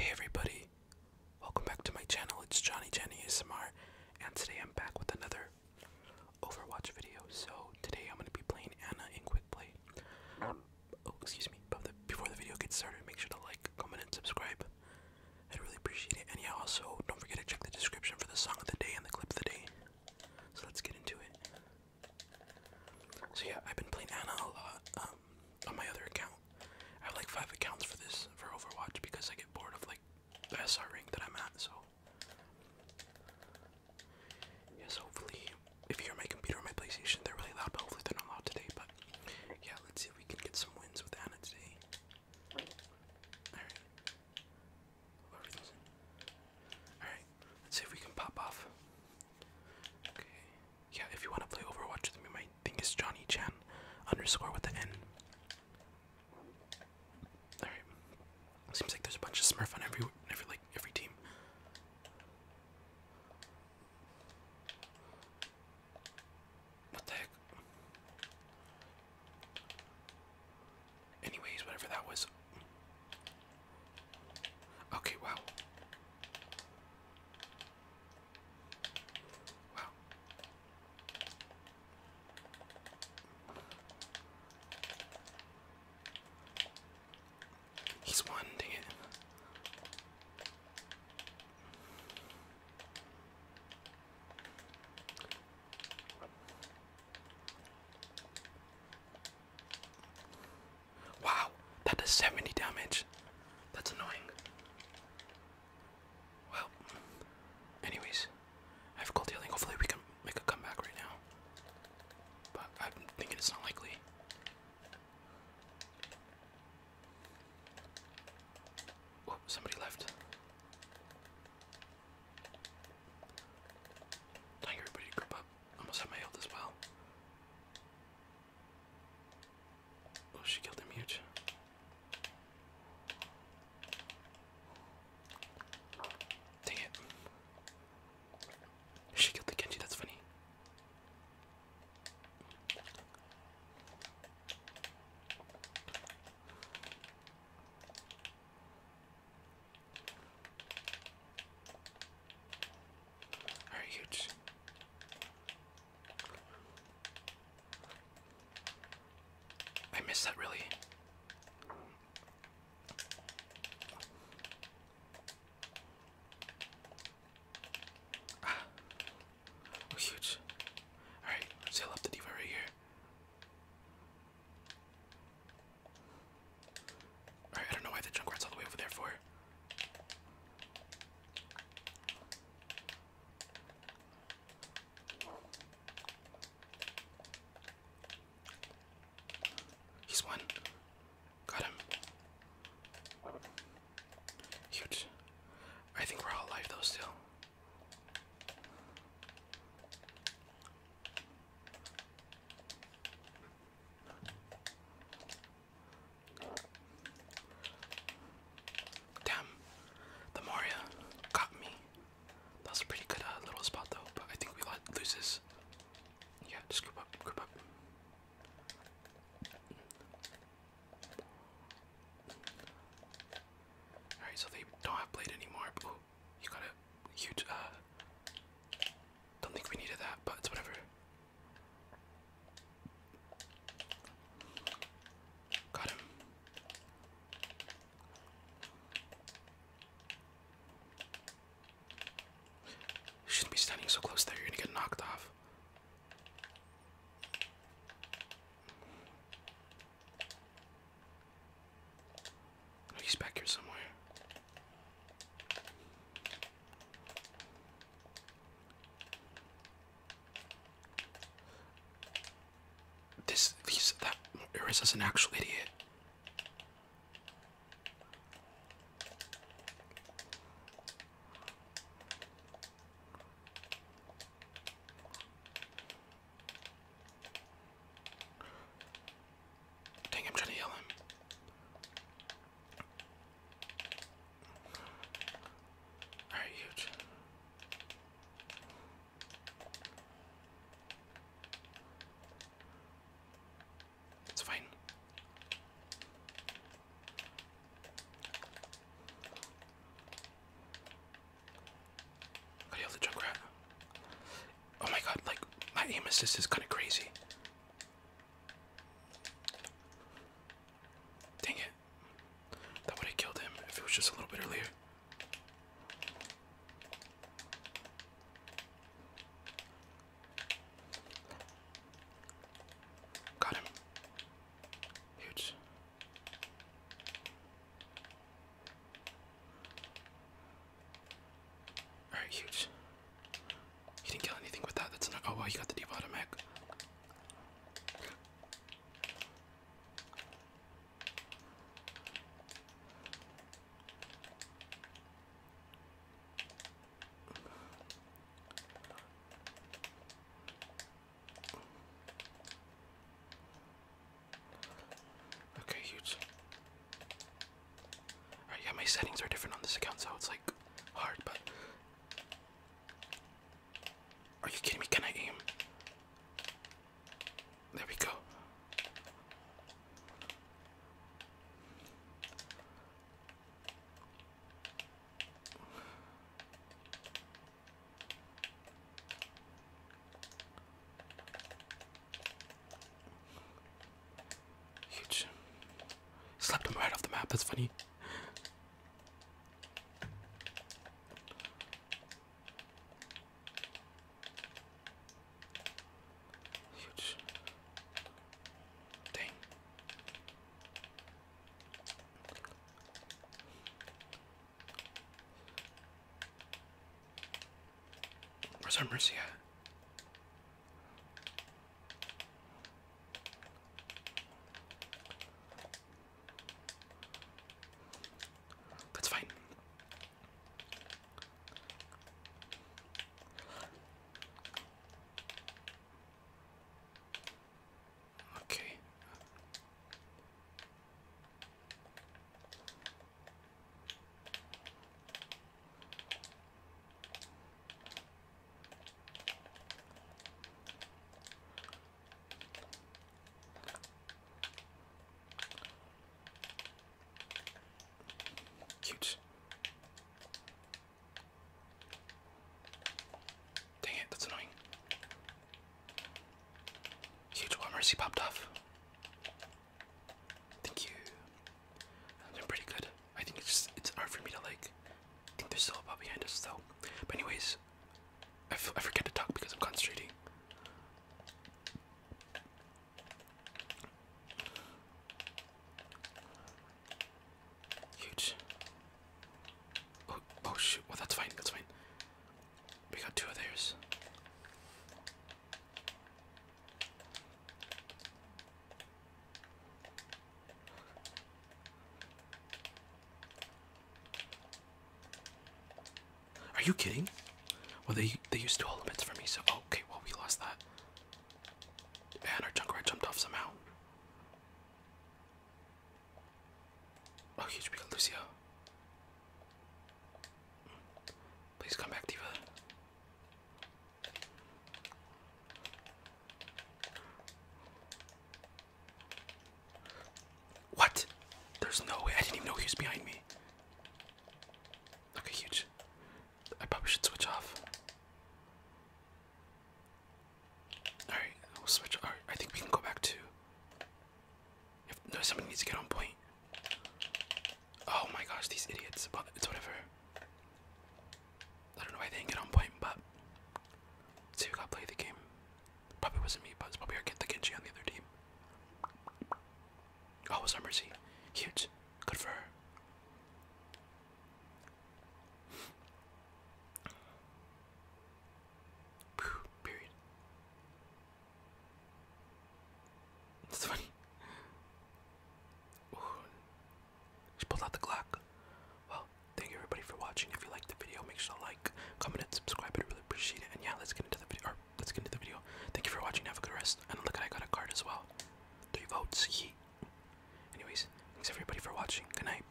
Hey everybody, welcome back to my channel. It's Johnny Jenny ASMR, and today I'm back with another Overwatch video. So today I'm gonna be playing Anna in quick play. oh, excuse me. before the video gets started, make sure to like, comment, and subscribe. I'd really appreciate it. And yeah, also don't forget to check the description for the song of the day and the clip of the day. So let's get into it. So yeah, I've been playing Anna a lot um, on my other account. I have like five accounts for this for Overwatch because I get bored of like the SR rank that I'm at. So yes, hopefully if you hear my computer or my PlayStation, they're really loud. But hopefully they're not loud today. But yeah, let's see if we can get some wins with Anansi. Alright. Alright, let's see if we can pop off. Okay. Yeah, if you want to play Overwatch with me, my thing is Johnny Chan underscore with the N. Alright. Seems like there's a bunch of Smurf on every every like every team. What the heck? Anyways, whatever that was. Okay, wow. Wow. He's one, dang Wow, that does 70 damage. That's annoying. Well, anyways, I have cold healing. Hopefully, we can make a comeback right now. But I'm thinking it's not likely. Oh, somebody left. Time everybody to group up. almost have my as well. Oh, she killed him huge. Dang it. She killed the Genji, that's funny. Alright, huge. I missed that really. Ah, we're huge. All right, sail up the diva right here. All right, I don't know why the junk rat's all the way over there for. He's one. Got him. Huge. I think we're all alive though still. Damn, the Moria got me. That was a pretty good uh, little spot though, but I think we let lose this. Yeah, just group up, group up. Alright, so they don't have blade anymore. Ooh, you got a huge, uh. Don't think we needed that, but it's whatever. Got him. shouldn't be standing so close there, you're gonna get knocked off he's back here somewhere. This, he's that Iris is an actual idiot. Dang, I'm trying to heal him. Alright, huge. It's fine. I have Oh my god, like my aim assist is kinda crazy. Dang it. That would have killed him if it was just a little bit earlier. Got him. Huge. Alright, huge. He didn't kill anything with that. That's not. Oh, wow, you got the deep automatic. Okay, huge. yeah, my settings are different on this account, so it's like hard, but. Are you kidding me? Can I aim? There we go. Huge. Slapped him right off the map, that's funny. Huge. Dang. Where's our mercy That's fine. Okay. Cute. Dang it, that's annoying. Huge War Mercy popped off. Thank you. I've been pretty good. I think it's it's hard for me to like, I think there's still a bot behind us though. But anyways, I, I forget to talk because I'm concentrating. Huge. Oh, oh shoot. Well, that's fine. That's fine. We got two of theirs. Are you kidding? Well, they they used two elements for me, so okay. Well, we lost that, and our junk jumped off somehow. Oh, huge big Please come back, Diva. What? There's no way. I didn't even know he was behind me. Okay, huge. I probably should switch off. Alright, we'll switch. Alright, I think we can go back to. no, somebody needs to get on point. Oh my gosh, these idiots. But it's whatever. I don't know why they didn't get on point, but. So us got to play the game. Probably wasn't me, but it's probably our kid, the Genji on the other team. Oh, it was our Mercy. Huge. Good for her. Period. It's funny. Ooh. She pulled out the clock. Well, thank you everybody for watching. If you liked the video, make sure to like, comment, and subscribe. I really appreciate it. And yeah, let's get into the video. Or let's get into the video. Thank you for watching. Have a good rest. And look at I got a card as well. Three votes. Yeet. Anyways, thanks everybody for watching. Good night.